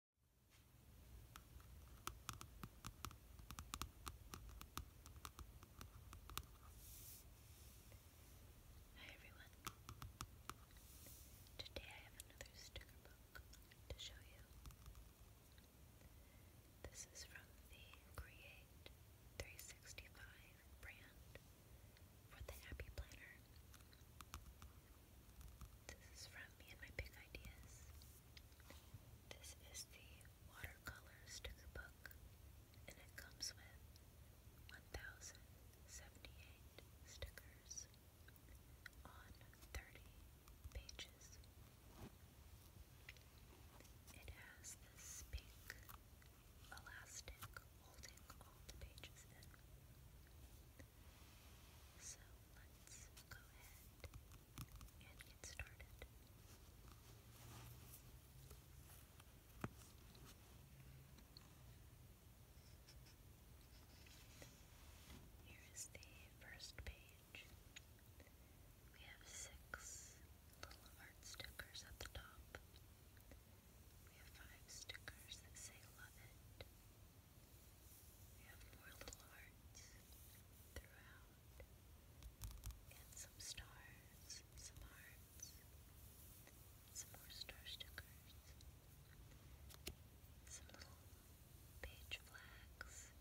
Hi everyone. Today I have another sticker book to show you. This is from the Create 365 brand for the Happy Planner. This is from me and my big ideas. This is the watercolor sticker book, and it comes with 1078 stickers on 30 pages. It has this pink elastic holding all the pages in. So let's go ahead and get started. Here is the first page. We have six little art stickers at the top. We have five stickers that say love it. We have more little hearts throughout, and some stars, some hearts, some more star stickers, some little page flags.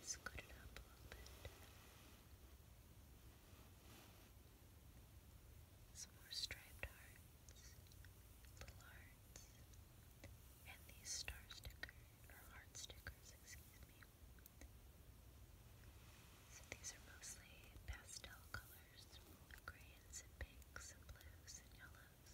Scoot it up a little bit. Some more striped hearts, little hearts cards. And these star stickers, or heart stickers, excuse me. So these are mostly pastel colors, grays and pinks and blues and yellows.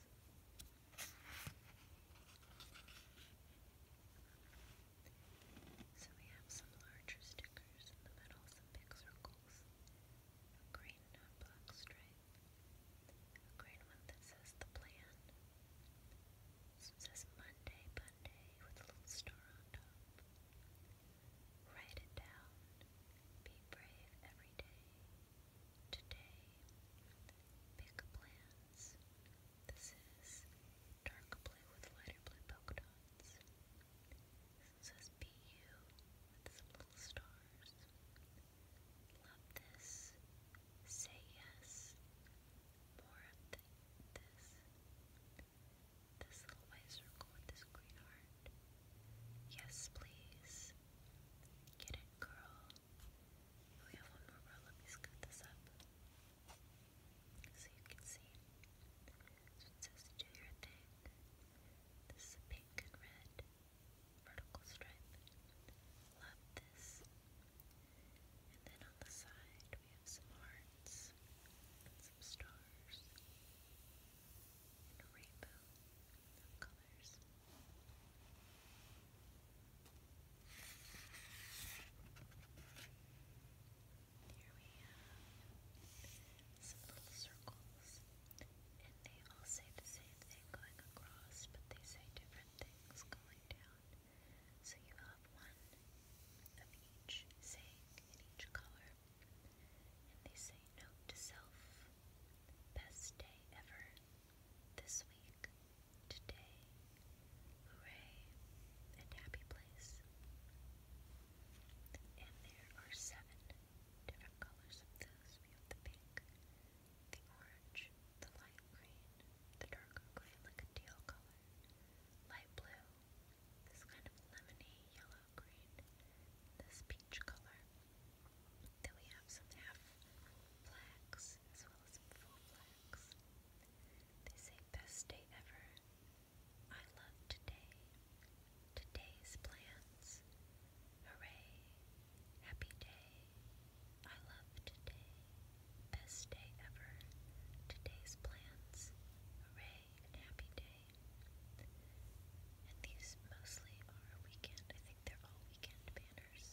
So we have some larger stickers in the middle, some big circles, a and black stripe. A green one that says the plan. This says Monday, Monday with a little star on top. Write it down. Be brave every day. Today. Big plans. This is dark blue with lighter blue polka dots. This says be you with some little stars. Love this. Say yes. More of this. This little white circle with this green heart. Yes, please. Get it, girl. Oh, we have one more Let me scoot this up so you can see. So it says do your thing. This pink and red vertical stripe. Love this. And then on the side we have some hearts some stars and a rainbow colors. Here we have some little circles, and they all say the same thing going across, but they say different things going down. So you have one of each saying in each color. And they say note to self, best day ever, this week, today, hooray, and happy place. And there are seven different colors of those. We have the pink, the orange, orange, the light green, the darker gray like a teal color, light blue, this kind of lemony yellow green, this peach color. Then we have some half blacks as well as full blacks. They say best day ever. I love today. Today's plans. Hooray. Happy day. I love today. Best day ever. Today's plans. Hooray happy day. And these mostly are weekend. I think they're all weekend banners.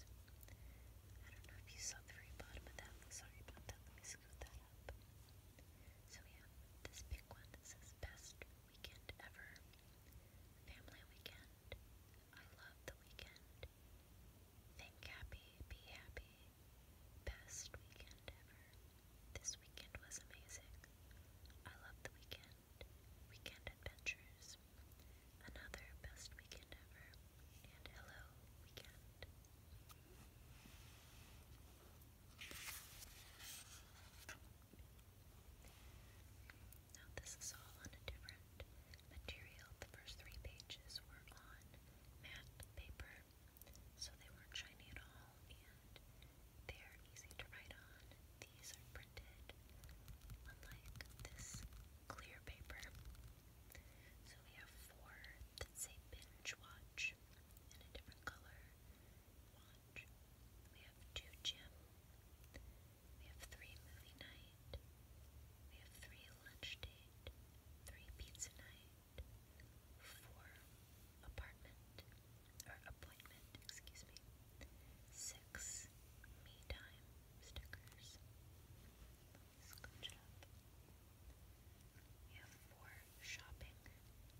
I don't know if you saw the very bottom of that. Sorry about that. Let me scoot that up. So we this big one that says best weekend ever. Family weekend. I love the weekend. Think happy, be happy. Best weekend ever. This weekend was amazing. I love the weekend. Weekend adventures. Another best weekend ever. And hello, weekend. Now, this is all on a different material. The first three pages were on matte paper, so they weren't shiny at all, and they're easy to write on. These are printed unlike this clear paper. So we have four that say binge watch in a different color. Watch. We have two gym. We have three movie night. We have three lunch date. Three pizza night. Four apartment or appointment, excuse me. Six me time stickers. Scooch it We have four shopping,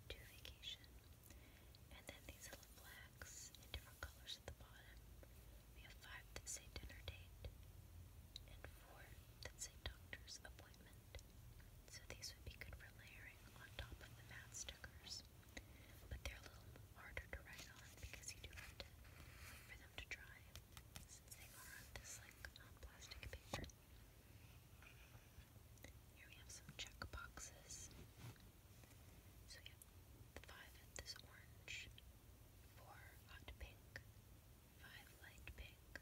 two vacation, and then these little flags in different colors numbers the bottom. We have five that say dinner date and four that say doctor's appointment. So these would be good for layering on top of the math stickers. But they're a little harder to write on because you do have to wait for them to dry since they are on this like um, plastic paper. Here we have some check 5th is orange, 4 hot pink, 5 light pink, 4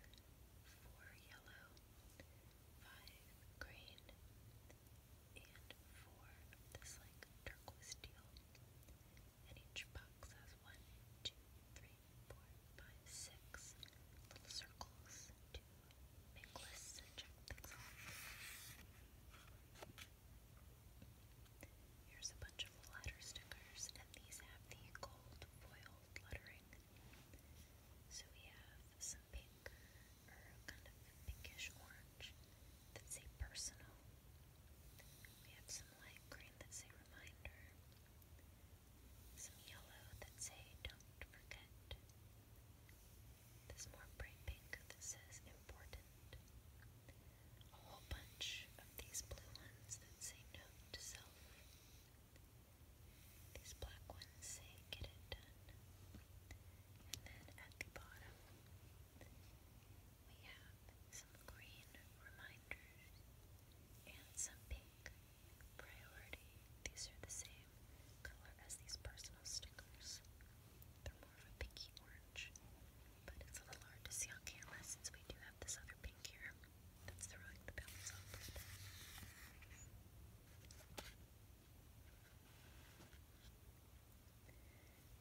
yellow, 5 green, and 4 this like turquoise teal. each box has 1, little circles make lists check things off. Here's a bunch of letter stickers, and these have the gold foil lettering. So we have some pink, or kind of pinkish orange, that say personal. We have some light green that say reminder. Some yellow that say don't forget. This more bright pink that says important. A whole bunch of these blue ones that say no to self. These black ones say get it done. And then at the bottom, we have some green reminders and some pink priority. These are the same color as these personal stickers. They're more of a pink pinky orange, but it's a little hard to see on camera since we do have this other pink here that's throwing the balance off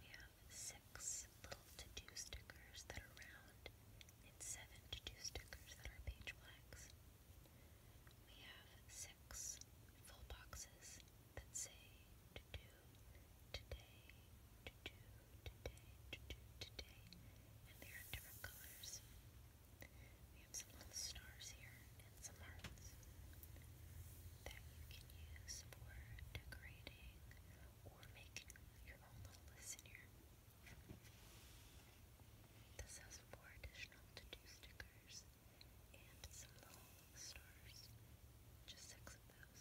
We have six little to-do stickers that are round and seven to-do stickers that are page We have six full boxes that say to-do today, to do today, today, and they're different colors. We have some little stars here and some hearts that you can use for decorating or making your own little list in here. This has four additional to-do stickers and some little stars, just six of those.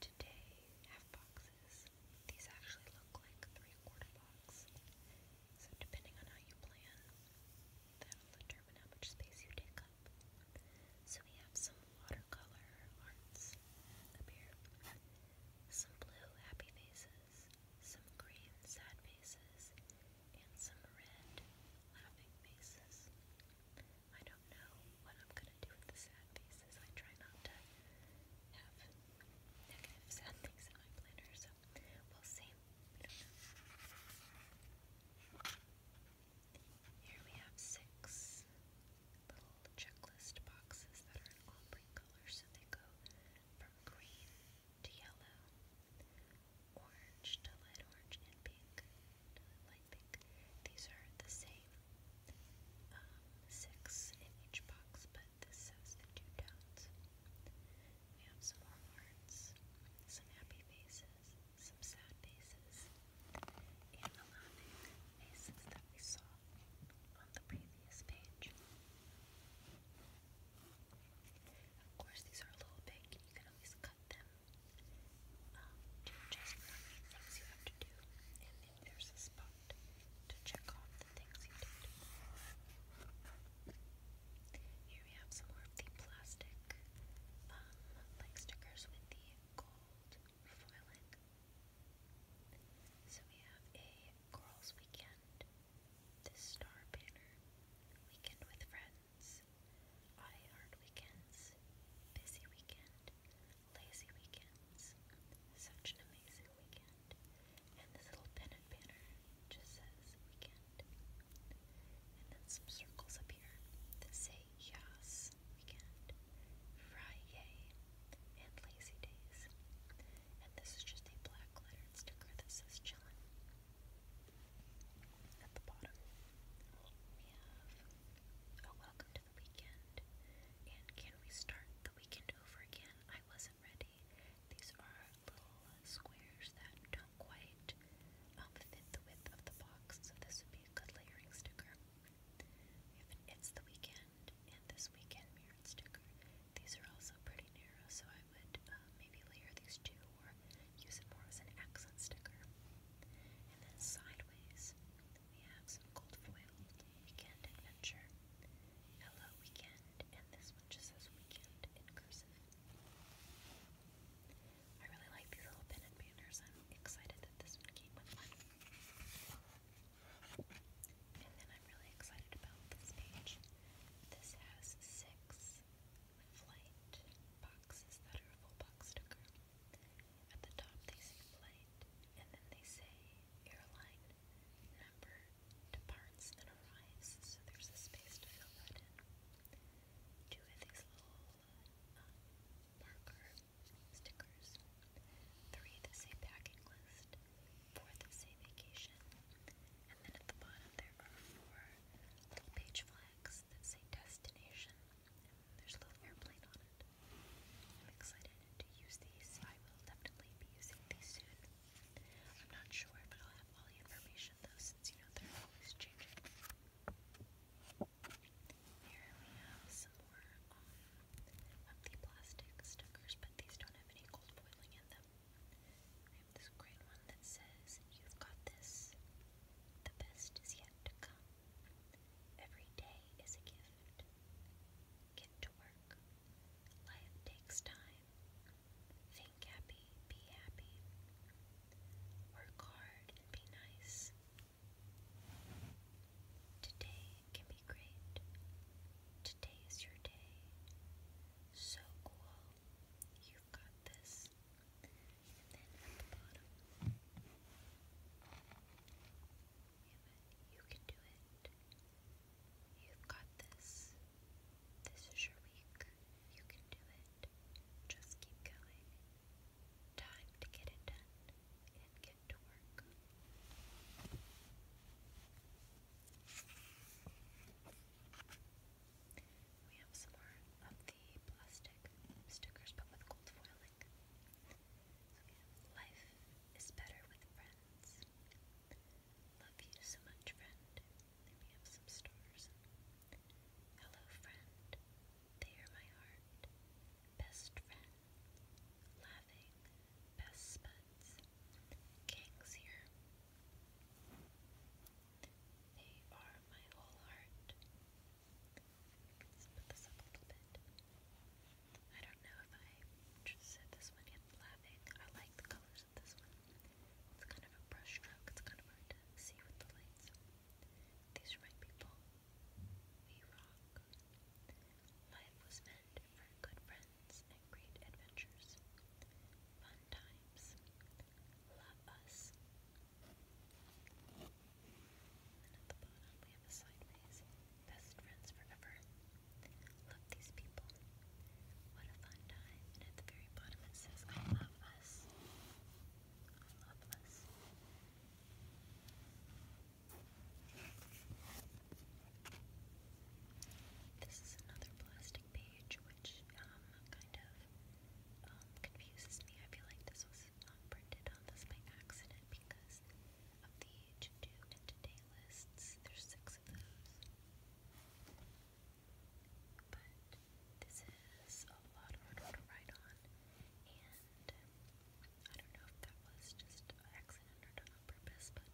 today have boxes. These actually look like three quarter box. So depending on how you plan, that'll determine how much space you take up. So we have some watercolor arts up here. Some blue happy faces, some green sad faces, and some red laughing faces. I don't know what I'm good I Here we have six little checklist boxes that are in ombre color, so they go from green to yellow, orange to light orange, and pink light pink. These are the same um, six in each box, but but this says that you do We have some more hearts, some happy faces, some sad faces, and the laughing faces that we saw on the previous page. Of course, these are a little big, and you can always cut them um, to adjust things you have to do, and if there's a spot around you Here we have some more of the plastic um, like stickers with the gold foiling. So we have a Girls Weekend, this star banner, Weekend with Friends, I Weekends, Busy Weekend, Lazy Weekends. Such an amazing weekend. And this little pennant banner just says weekend. And then some circles up here that say yes, weekend, Friday, and lazy days. And this is just a black lettered sticker that says chillin'. At the bottom, we oh, welcome to the weekend. And can we start the weekend over again, I wasn't ready. These are little squares that don't quite um, fit the width of the box, so this would be a good layering sticker. We It's the Weekend and This Weekend Mirrored sticker. These are also pretty narrow, so I would uh, maybe layer these two or use it more as an accent sticker. And then sideways, we have some gold foil Weekend Adventure. Hello Weekend, and this one just says Weekend in cursive. I really like these little pin and banners. I'm excited that this one came with one. And then I'm really excited about this page. This has six flight boxes that box sticker. At the top they say flight, and then they say airline number departs and arrives, there's a space to fill that in. Two of these little uh, marker stickers. Three, the same packing list. Four, the same vacation. And then at the bottom there are four little page flags that say destination. there's a little airplane on it. I'm excited to use these, I will definitely be using these soon. I'm not sure, but I'll have all the information though, since you know they're always changing. Here we have some more um, plastic stickers, but these don't have any cold boiling in them. I have this great one that says, You've got this. The best is yet to come. Every day is a gift. Get to work. Life takes time. Think happy, be happy. Work hard and be nice. Today can be great. Today is your day. So cool. You've got this. And then at the bottom, you can do it. You've got this. This is your week. You can do it. Just keep going. Time to get it done and get to work. We have some more of the plastic stickers but with gold foiling. life is better with friends. Love you so much, friend. Let me have some stars. Hello, friend. They are my heart. Best friend. Laughing. Best spuds. Kings here. They are my whole heart. let put this up a little bit. I don't know if I just said this one yet, laughing. I like the colors of this one. It's kind of a brush it's kind of hard to see with the lights. These are my people. We Life was meant for good friends and great adventures. Fun times. Love us. And at the bottom we have a sideways. Best friends forever. Love these people. What a fun time. And at the very bottom it says, I love us. I love us. This is another plastic page, which um, kind of um, confuses me. I feel like this was printed on this by accident because of the to do and to lists. There's six of those. But this is a lot harder to write on, and um, I don't know if that was just an accident or on purpose, but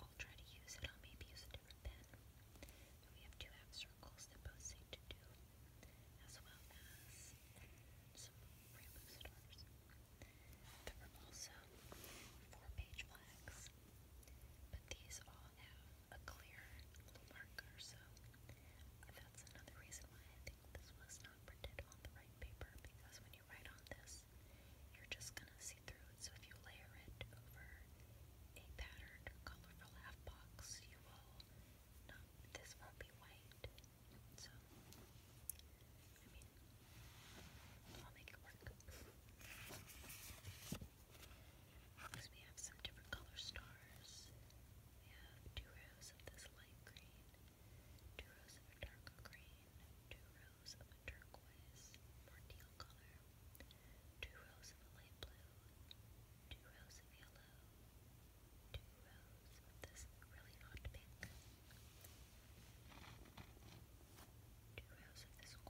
I'll try to use it. I'll maybe use a different pen. we have two half circles that both say to do, as well as some rainbow stars. There were also four page flags, but these all have a clear marker, so that's another reason why I think this was not printed on the right paper because when you write on this, you're just gonna see through So if you layer it over a patterned, colorful half box, you will not, this won't be white. So, I mean, I'll make it work. Next we have some different color stars. We have two rows of this light green, two rows of a darker green, two rows of a turquoise, more teal color, two rows of a light blue, two rows of yellow, two rows of this really hot pink, two rows of this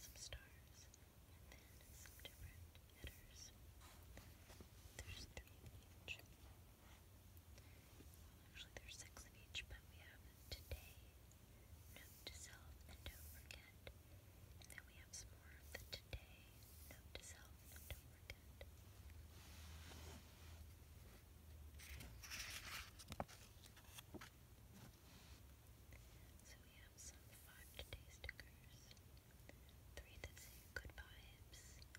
some stars, and then some different headers. There's three in each. Well, actually, there's six in each, but we have today, note to self, and don't forget. then we have some more of the today, note to self, and don't forget. So we have some 5-today stickers, 3 that say good vibes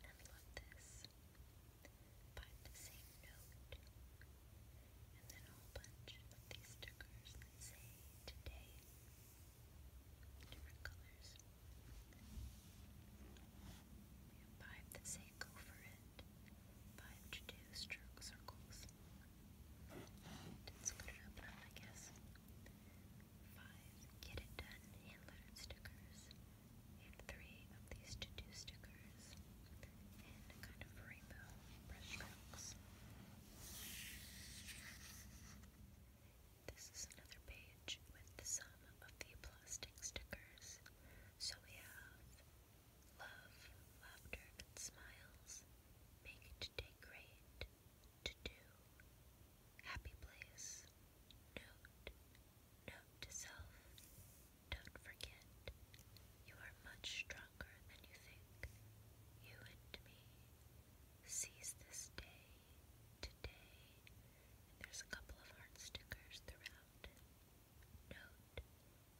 and love this, 5 that say note, and then a whole bunch of these stickers that say today, different colors. We have 5 that say go for it, 5 to do stroke circles, didn't split it up I guess. 5. Get It Done hand-lettered stickers. And 3 of these to-do stickers. And kind of rainbow brushstrokes. This is another page with the of the plastic stickers. So we have love, laughter, smiles. Make it great to do, happy place, note, note to self, don't forget, you are much stronger than you think, you and me, seize this day, today, there's a couple of heart stickers throughout, note,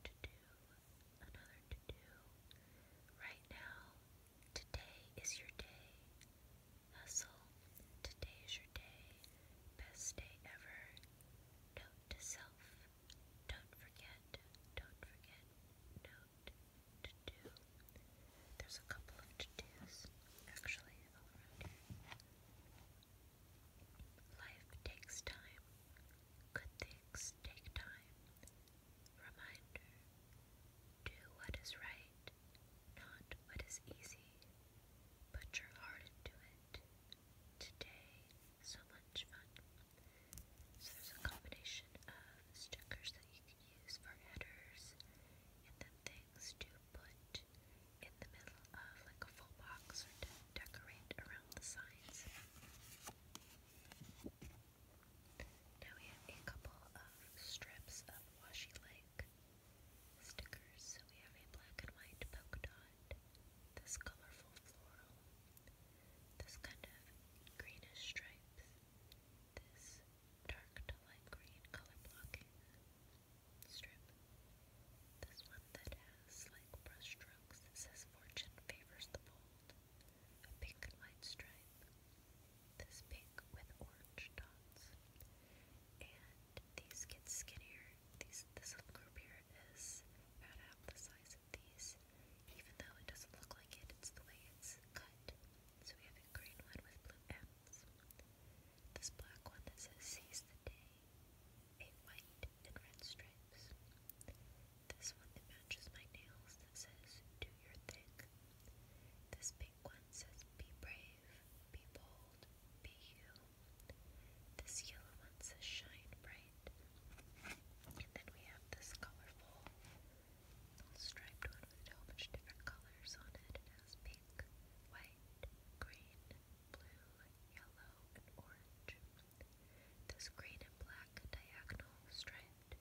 to do, another to do, right now, Today is your day. Hustle. Today is your day. Best day ever. Note to self. Don't forget. Don't forget. Note to do. There's a couple of to do's actually Life takes time. Good things take time. Reminder Do what is right, not what is easy. Put your heart into it. Today, so much fun. So, there's a combination of stickers that you can use for headers and then things to put in the middle of like a full box or to decorate around the signs. Now we have a couple of strips of washi like stickers. So we have a black and white polka dot, this colorful floral, this kind of greenish stripes, this dark to light green color blocking strip, this one that has like brush strokes that says fortune favors the bold, a pink and stripe this pink with orange dots. And these get skinnier. These this little group here is about half the size of these. Even though it doesn't look like it, it's the way it's cut. So we have a green one with blue M's. This black one that says seize the day. A white and red stripes. This one that matches my nails says do your thing. This pink one says be brave, be bold, be you. This yellow one says shine bright. And then we have this colorful striped one with a whole different colors on it. has pink, white, green, blue, yellow, orange. This green and black diagonal striped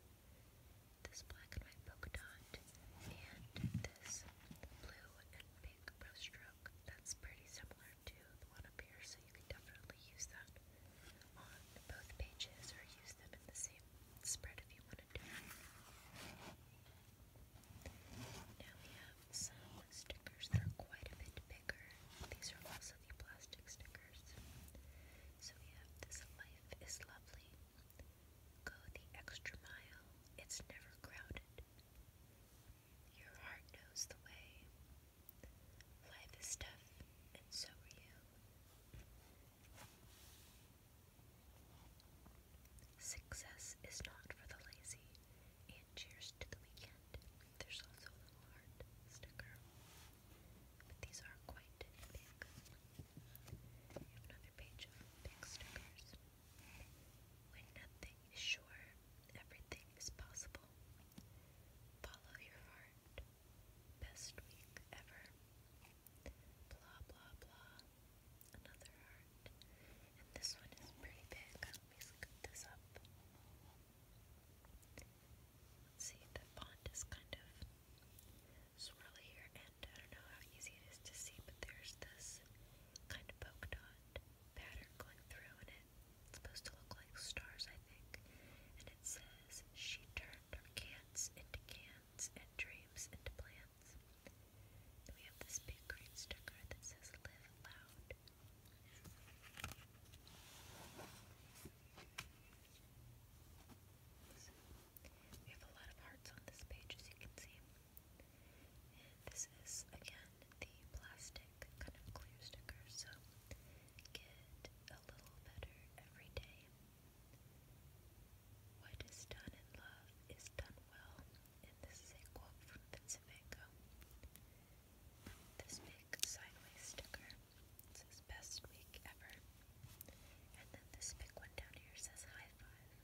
this black and white polka dot, and this blue and pink brushstroke. That's pretty similar to the one up here, so you can definitely use that on both pages or use them in the same spread if you want to do it. Now we have some stickers that are quite a bit bigger. These are also the plastic stickers. So we have this Life is Lovely. Go the extra mile, it's never crowded. Your heart knows the way. Life is tough, and so are you. Success is not for the lazy, and cheers to the weekend. There's also a little heart sticker but these are quite big. another page of big stickers. When nothing is sure, everything is possible. Follow your heart. Best week ever. Blah blah blah. Another heart. And this one is pretty big. Let me scoop this up. see, the font is kind of swirlier, and I don't know how easy it is to see, but there's this kind of polka dot pattern going through, and it. it's supposed to look like stars, I think. And it says, She turned her cans into cans and dreams into plans." we have this big green sticker that says, Live Loud. We have a lot of hearts on this page, as you can see. And this is, again, the plastic kind of clear sticker, so get a little better every day. What is done in love is done well, and this is a quote from Vincent Van Gogh. This big sideways sticker says, Best week ever. And then this big one down here says high five.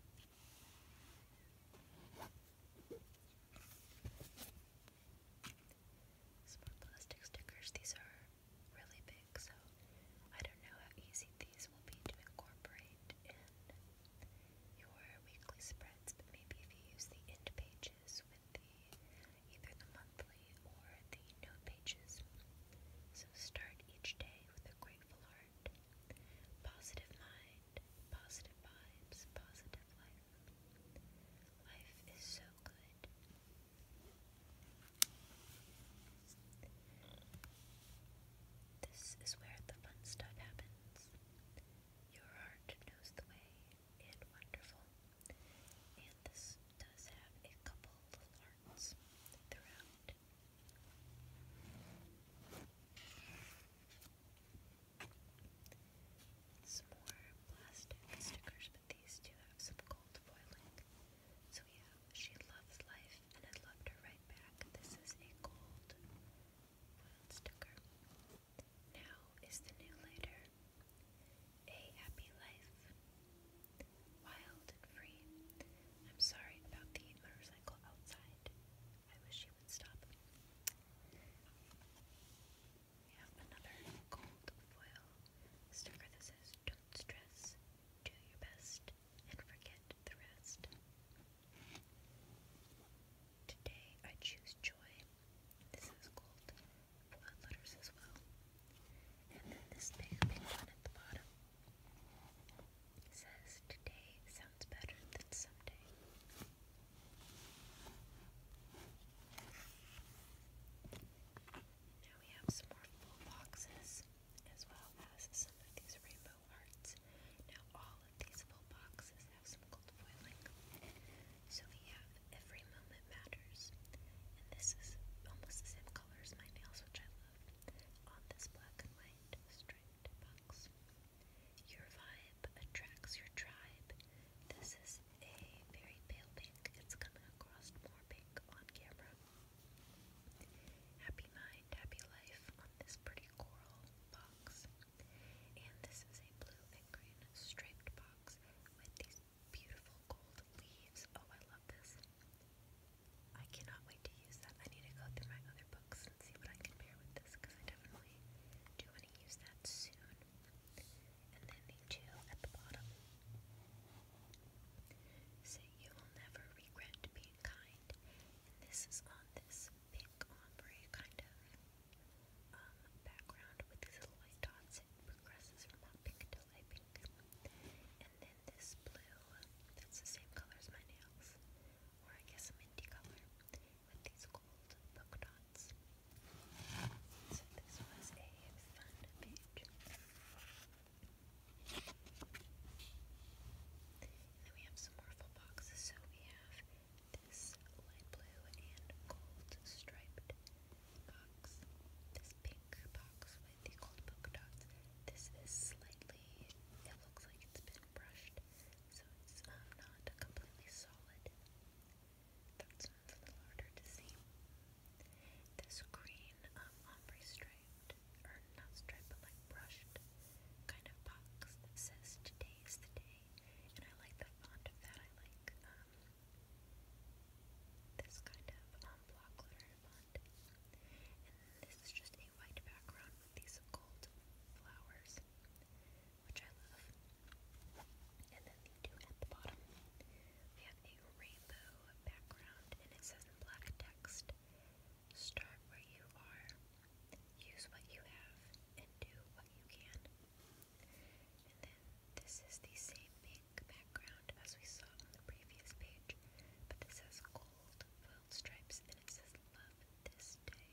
more plastic stickers. These are really big, so I don't know how easy these will be to incorporate in your weekly spreads, but maybe if you use the end pages with the either the monthly or the note pages. So start each day with a gray grateful heart, positive mind, positive vibes, positive life. Life is so good. This is where the fun stuff happens. Your heart knows the way and wonderful. And this does have a couple little hearts throughout. Some more plastic stickers, but these two have some gold foiling. So yeah, she loves life and I loved her right back. This is a gold foiled sticker. Now is the new letter. A happy life wild and free. I'm sorry about the motorcycle outside. I wish you would stop. We another gold foil sticker that says, Don't stress, do your best, and forget the rest. Today I choose joy. This is gold foil letters as well. And then this big, big one at the bottom Says today sounds better than someday. Now we have some more full boxes as well as some of these rainbow arts. Now all of these full boxes have some gold foiling. So we have Every Moment Matters. And this is almost the same color as my nails, which I love. On this black and white striped bucks. Your vibe attracts your tribe. This is a very pale pink. It's coming across more pink on camera. Happy mind, happy life on this pretty coral box. And this is a blue and green striped box with these beautiful gold leaves. Oh, I love this. I cannot wait to use that. I need to go through my other books and see what I can pair with this because I definitely do want to use that soon. And then the two at the bottom say you will never regret being kind. And this is on this pink ombre kind of um, background with these little white dots. It progresses from hot pink to light pink then this blue, that's the same color as my nails, or I guess a minty color, with these gold polka dots. So this was a fun page. then we have some more full boxes. So we have this light blue and gold striped box. This pink box the gold polka dots. This is slightly, it looks like it's been brushed, so it's um, not completely solid. That's a little This green um, ombre striped, or not striped, but like brushed kind of box that says today is the day, and I like the font of that. I like um, this kind of um, block letter font. And this is just a a white background with these gold flowers, which I love. And then the two at the bottom, we have a rainbow background, and it says in black text, start where you are, use what you have, and do what you can. And then this is the same pink background as we saw on the previous page, but it says gold foiled it says love this day.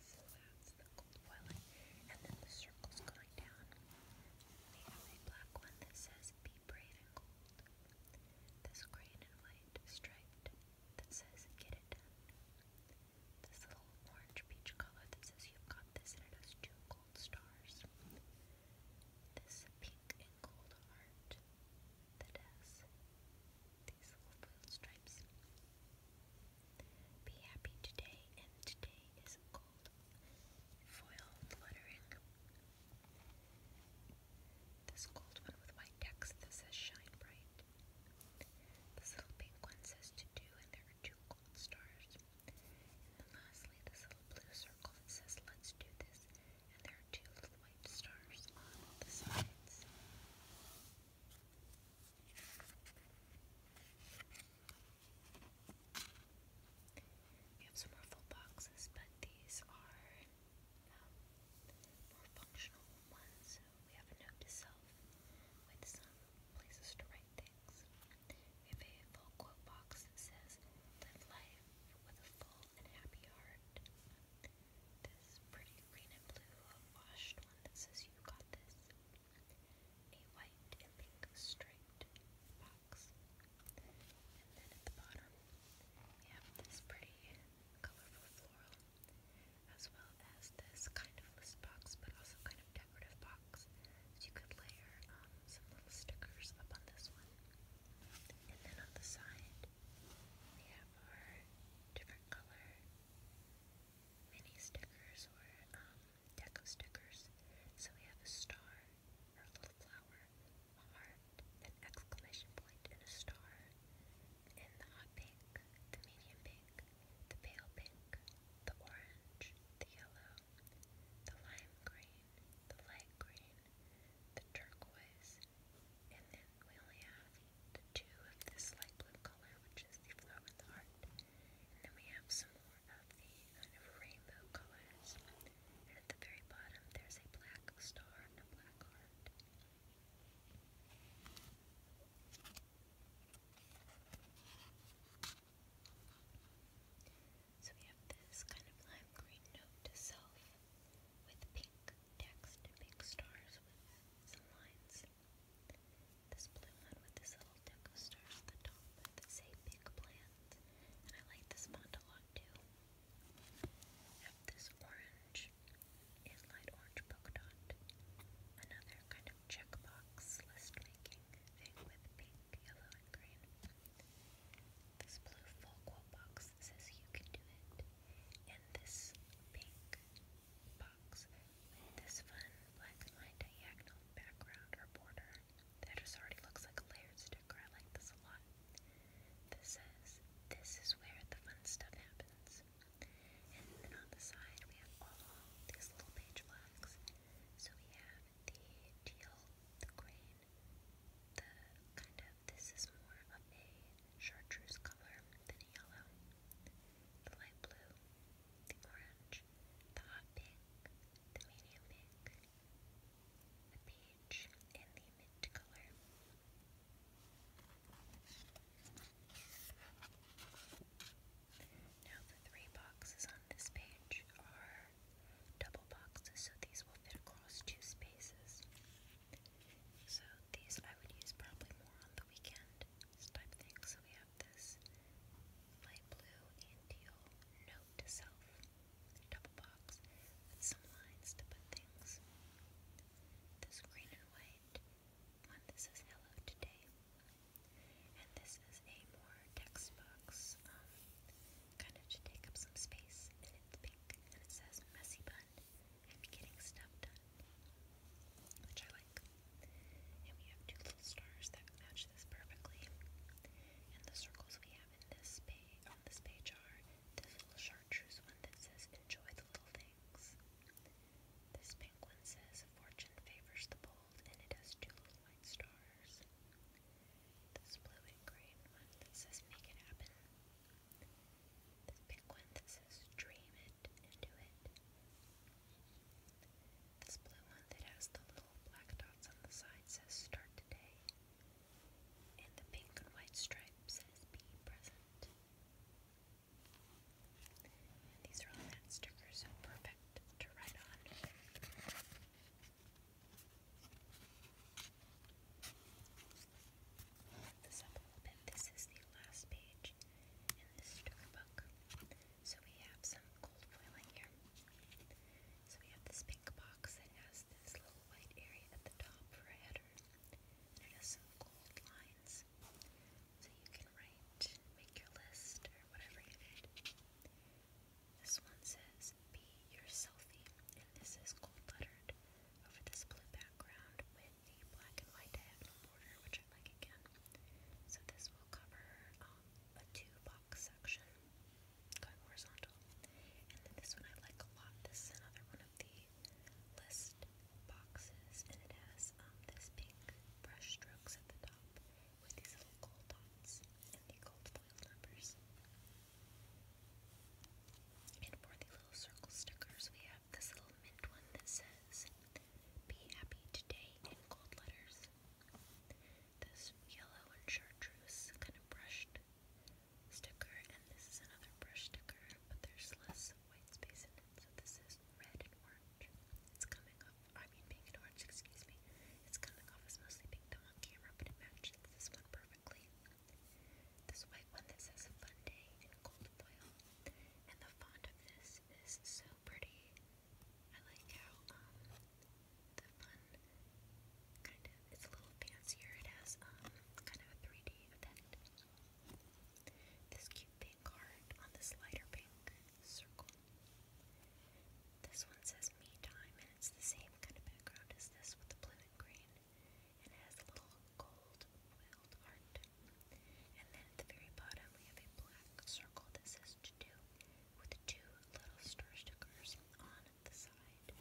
So that's the gold foiling. And then the circle's going down. They have a black one that says be brave and gold. This green and white striped that says get it done. This little orange peach color that says you've got this and it has stars. This pink and gold heart that has these little foil stripes. Be happy today, and today is gold foil fluttering. This gold one with white text that says shine bright. This little pink one says to do, and there are two gold stars. And then lastly, this little blue circle that says let's do this and there are two little white stars on the sides. We have some more full boxes, but these are um, more functional ones. we have a note to with some places to write things. We have a full quote box that says, Live life life with a full and happy heart. This pretty green and blue washed one that says you got this. A white and pink striped box. And then at the bottom, we have this pretty colorful floral, as well as this kind of list box, but also kind of decorative box. So you could layer um, some little stickers up on this one. And then on the side, we have our different color mini stickers or um, deco stickers. So we have a star, a little flower, a heart, an exclamation point, and a star. And the hot pink, the medium pink, the pale pink, the orange, the yellow, the lime green, the light green, the turquoise, and then we only have two of this light blue color, which is the flower with the heart. And then we have some more of the kind of rainbow colors. And at the very bottom, there's a black star and a black heart. So we have this kind of lime green note with pink text pink stars with some lines. This blue one with this little deck of at the top that say big plant. And I like this one a lot too. have this orange is light orange polka dot. Another kind of checkbox list making thing with pink, yellow, and green. This blue Folkwell box says you can do it. And this pink box with this fun black and diagonal background or border that just already looks like layered sticker. I like this a lot. This says, This is where the fun stuff happens. And then on the side, we have all these little page flags. So we have the teal, the green, the kind of this is more of a chartreuse color than a yellow. The light blue, the orange, the hot pink, the medium pink, the peach, and the mint color. Now, the three boxes on this page are double boxes, so these will fit across two spaces. So these I would use probably more on the weekend type thing. So we have this light blue and teal note to self double box with some lines to put things. This green and white one. This is hello today, and this is a more text um, Kind of should take up some space, and it's pink, and it says messy bun, and getting stuff done, which I like. And we have two little stars that match this perfectly. And the circles we have in this page, on this page are this little chartreuse one that says enjoy the little things. This pink says fortune favors the bold, and it has two little white stars. This blue and green one that says make it happen. This pink one that says Dream It Do It. This blue one that has the little black dots on the side says Start Today. And the pink and white stripe says Be Present. these are all stickers, so perfect to write on. Lift this is the last page in this sticker So we have some gold foiling here. So we have this pink box that has this little white area at the top for a header. And has some gold lines. So you can write, make your list, or whatever This one says, be your selfie. And this is gold lettered over this blue background with the black and white border, which I like again. So this will cover um, two-box section going horizontal. And then this one I like a lot. This is another one of the list boxes, and it has um, this pink brush strokes at the top with these little gold dots and the gold foil numbers. And for the little circle stickers, we have this little mint one that says, Be happy today in gold letters. This yellow and chartreuse kind of brushed sticker, and this is another brush sticker, but there's less white space in it, so this is red and orange. It's coming off, I mean pink and orange, excuse me. It's coming off as mostly pink on camera, but it matches this one perfectly. This white one that says Fun Day in Gold Foil. And the font of this is so pretty. I like how um, the fun kind of it's a little fancier. It has um, kind of a 3D effect. This cute pink card on this lighter pink circle. This one says me time and it's the same kind of background as this with the blue and green and has a little gold oiled heart. And then at the very bottom, we have a black circle that says to with two little star stickers on the side.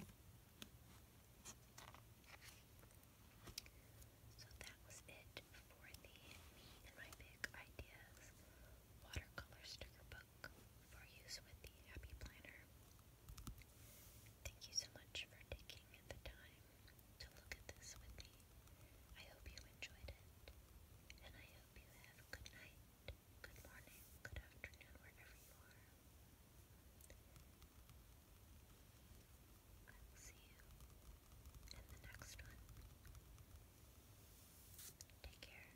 So that was it for the Me and My Big Ideas watercolor sticker book for use with the Happy Planner. Thank you so much for taking the time to look at this with me. I hope you enjoyed it, and I hope you have a good night, good morning, good afternoon, wherever you are. I will see you in the next one. Take care.